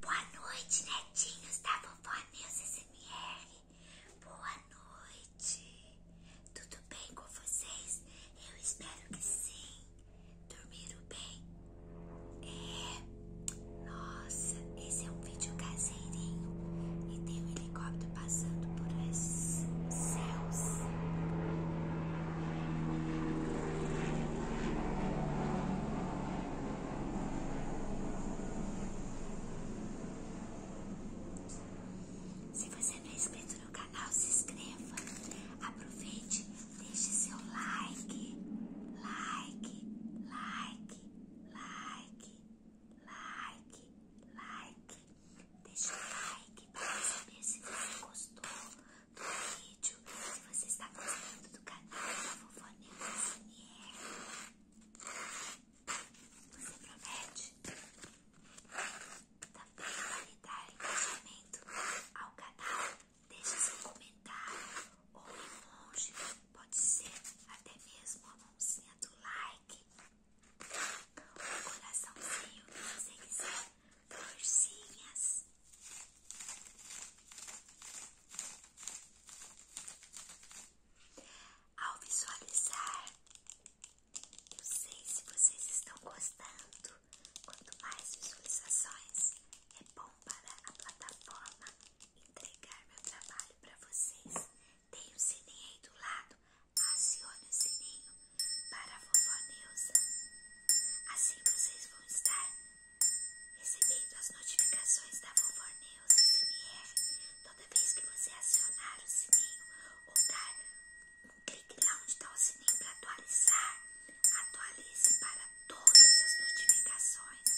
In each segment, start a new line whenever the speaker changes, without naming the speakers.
Boa noite, netinhos da Vovó News SMR. Boa noite. Tudo bem com vocês? Eu espero que sim. Dormiram bem? É. Nossa, esse é um vídeo caseirinho. E tem um helicóptero passando por esses céus. Se você não é inscrito no canal, se inscreva. Aproveite, deixe seu like, like, like, like, like, like. deixe o like para saber se você gostou do vídeo, se você está gostando do canal da Vovó Você promete? Também tá validar engajamento ao canal, deixe seu comentário ou emoji, pode ser até mesmo a mãozinha do like, o coraçãozinho que você quiser, florzinhas. Ao visualizar, não sei se vocês estão gostando. Quanto mais visualizações, é bom para a plataforma entregar meu trabalho para vocês. Tem o sininho aí do lado, acione o sininho para a vovó Neuza. Assim vocês vão estar recebendo as notificações da Vovó toda vez que você acionar o sininho ou dar um clique lá onde está o sininho para atualizar. Atualize para todas as notificações,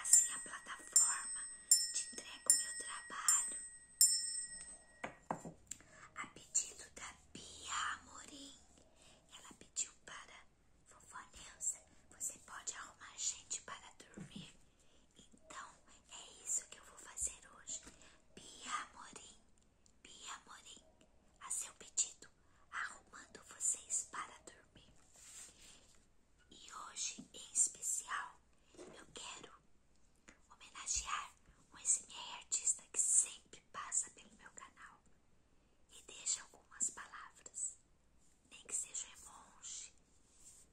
assim a plataforma te entrega o meu trabalho. A pedido da Pia Amorim, ela pediu para Vovó Neuza, você pode arrumar gente para dormir? Então, é isso que eu vou fazer hoje. Pia Morim, Pia Morim, a seu pedido, arrumando vocês para dormir. E hoje, em especial, eu quero homenagear um SMR artista que sempre passa pelo meu canal e deixa algumas palavras, nem que seja em longe.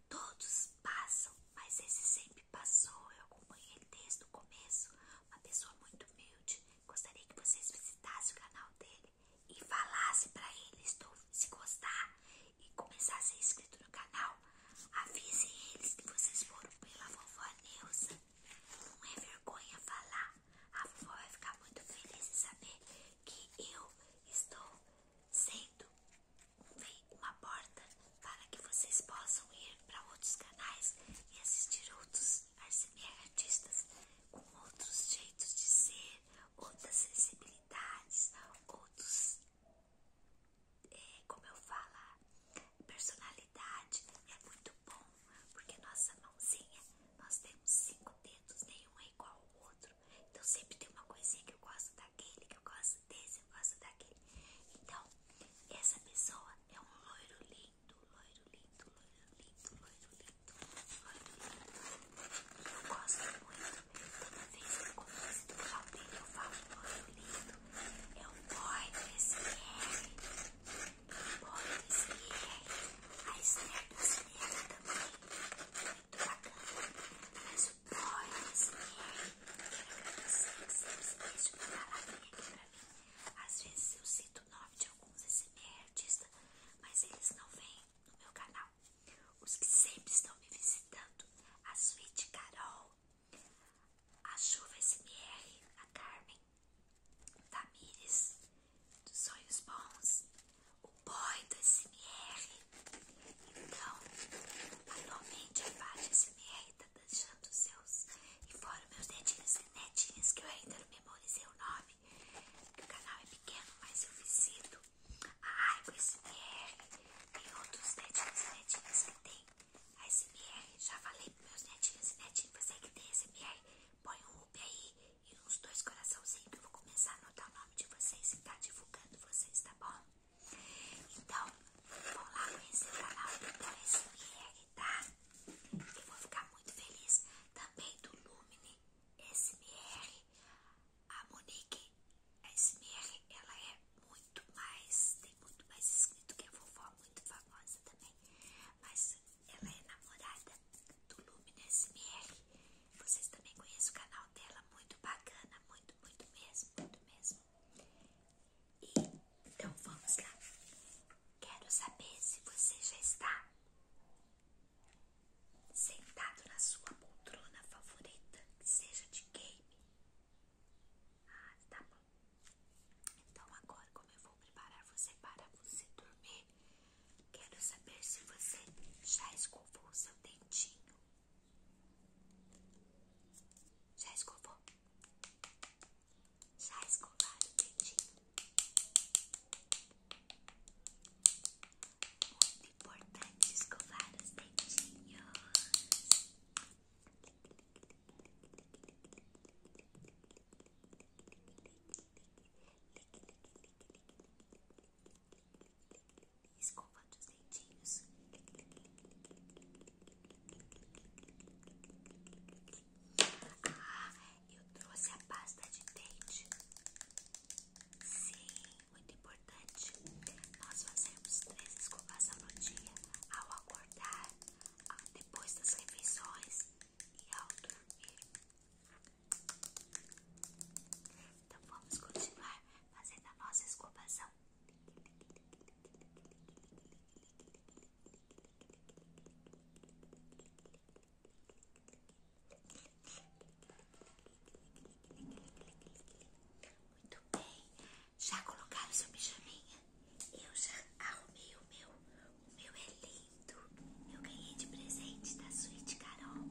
Todos passam, mas esse sempre passou. Eu acompanhei ele desde o começo. Uma pessoa muito humilde. Gostaria que vocês visitassem o canal dele e falassem para eles se gostar e começar a ser inscrito no canal. Avisem eles que vocês foram pela vovó Neuza. Não é vergonha falar a vovó vai ficar muito feliz em saber que eu estou sendo uma porta para que vocês possam ir para outros canais e assistir outros artistas com outros jeitos de ser, outras sensibilidades, outros. Eh, como eu falo, personalidade é muito bom porque nossa mãozinha, nós temos cinco dedos, nenhum é igual ao outro. Então sempre tem uma coisinha que eu gosto daquele, que eu gosto desse, eu gosto daquele. Então, essa pessoa é um loiro lindo, loiro lindo, loiro lindo, loiro lindo, loiro lindo. Eu gosto muito. Toda vez que eu começo do pau dele, eu falo loiro lindo. É um boy desse é. Bones e a Esther do cinema também. Muito bacana. Mas o Bones e quero agradecer que sempre deixa uma palavrinha aqui pra mim. Às vezes eu cito o nome de alguns SMR artistas, mas eles não vêm no meu canal. Os que sempre estão me visitando, a Suíte Carol, a Chuva SMR, a Carmen, Tamires dos Sonhos Bons, o boy do SMR. Então, atualmente a parte SMR tá deixando os seus. E fora meus netinhos e netinhas, que eu ainda não memorizei o nome. O canal é pequeno, mas eu visito a Arco SMR. Tem outros netinhos e netinhas que tem a SMR. Já falei pros meus netinhos e netinhas, você que tem SMR. Põe o up aí e nos dois coraçãozinhos que eu vou começar a anotar o nome de vocês e tá divulgando vocês, tá bom? Então, vão lá conhecer o canal do SMR, tá? Eu vou ficar muito feliz. Também do Lumine SMR. A Monique SMR, ela é muito mais, tem muito mais escrito que a vovó, muito famosa também. Mas ela é namorada do Luminous MR. Vocês também conhecem o canal dela, muito bacana, muito, muito mesmo, muito mesmo. então vamos lá. Quero saber se você já está sentado na sua poltrona favorita, que seja de game. Ah, tá bom. Então agora, como eu vou preparar você para você dormir, quero saber se você já escovou o seu dentinho. Já escovou? Já escovaram o dentinho? Muito importante escovar os dentinhos. Escovando os dentinhos. Ah, eu trouxe a pasta de dente. Sim, muito importante. Nós fazemos três escovas ao dia, ao acordar, depois das refeições e ao dormir. Então vamos continuar fazendo a nossa escovação. Muito bem, já colocaram seu pijaminha? eu já arrumei o meu. O meu é lindo. Eu ganhei de presente da Suíte Carol.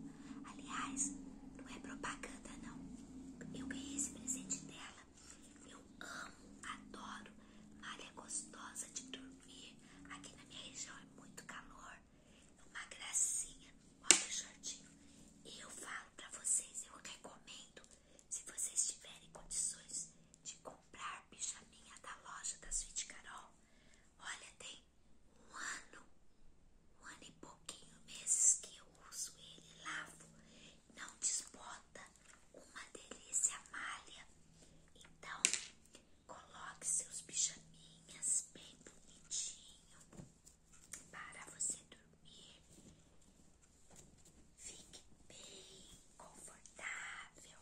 Aliás, não é propaganda, não. Eu ganhei esse presente dela. Eu amo, adoro. Malha gostosa de dormir. Aqui na minha região é muito calor. É uma gracinha. Olha o shortinho. Eu falo pra vocês, eu recomendo. Se vocês tiverem condições de comprar pijaminha da loja da Suíte Carol. Olha, tem um ano, um ano e pouquinho meses que eu uso ele, lavo, não desbota, uma delícia malha. Então, coloque seus pijaminhas bem bonitinho para você dormir. Fique bem confortável.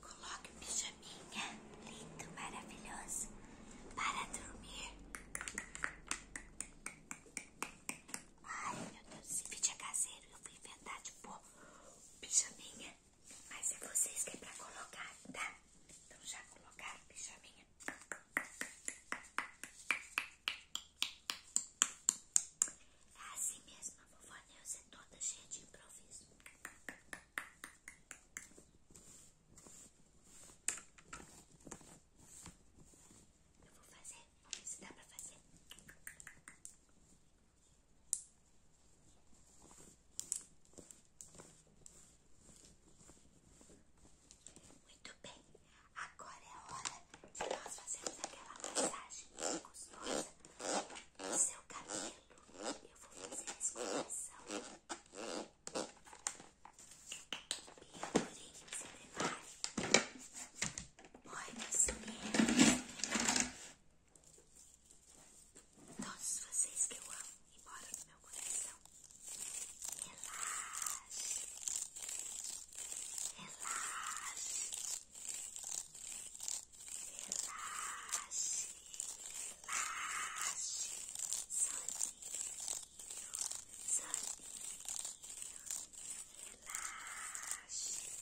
Coloque o pijaminha lindo, maravilhoso para dormir. Ai meu Deus, esse vídeo é caseiro. Eu fui inventar de pôr pijaminha, mas se é vocês que é colocar, tá? Então já colocaram pijaminha? É assim mesmo, a vovó Neuza é toda cheia de improviso. Eu vou fazer, vamos ver se dá pra fazer. Muito bem, agora é a hora de nós fazermos aquela massagem gostosa no seu cabelo. Eu vou fazer a escolação. E eu porém, você prepare Oi, meus meninos. Todos vocês que eu amo e no meu coração. Relaxe. Relaxe. Relaxe. Relaxe. Soninho. Soninho. Relaxe.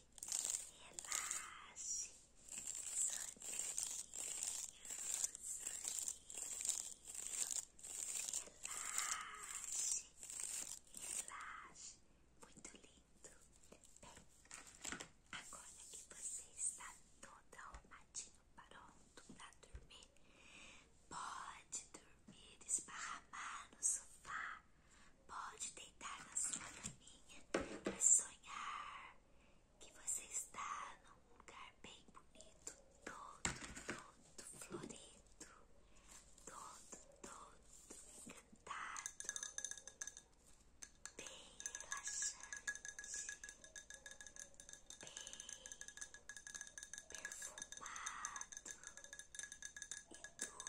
relaxe, soninho, soninho, relaxe, relaxe, muito lindo. Bem, agora que você está todo arrumadinho, pronto para dormir, pode dormir esparramar no sofá. Pode deitar na sua caminha e sonhar que você está num lugar bem bonito, todo, todo florido, todo, todo encantado, bem relaxante, bem perfumado e tudo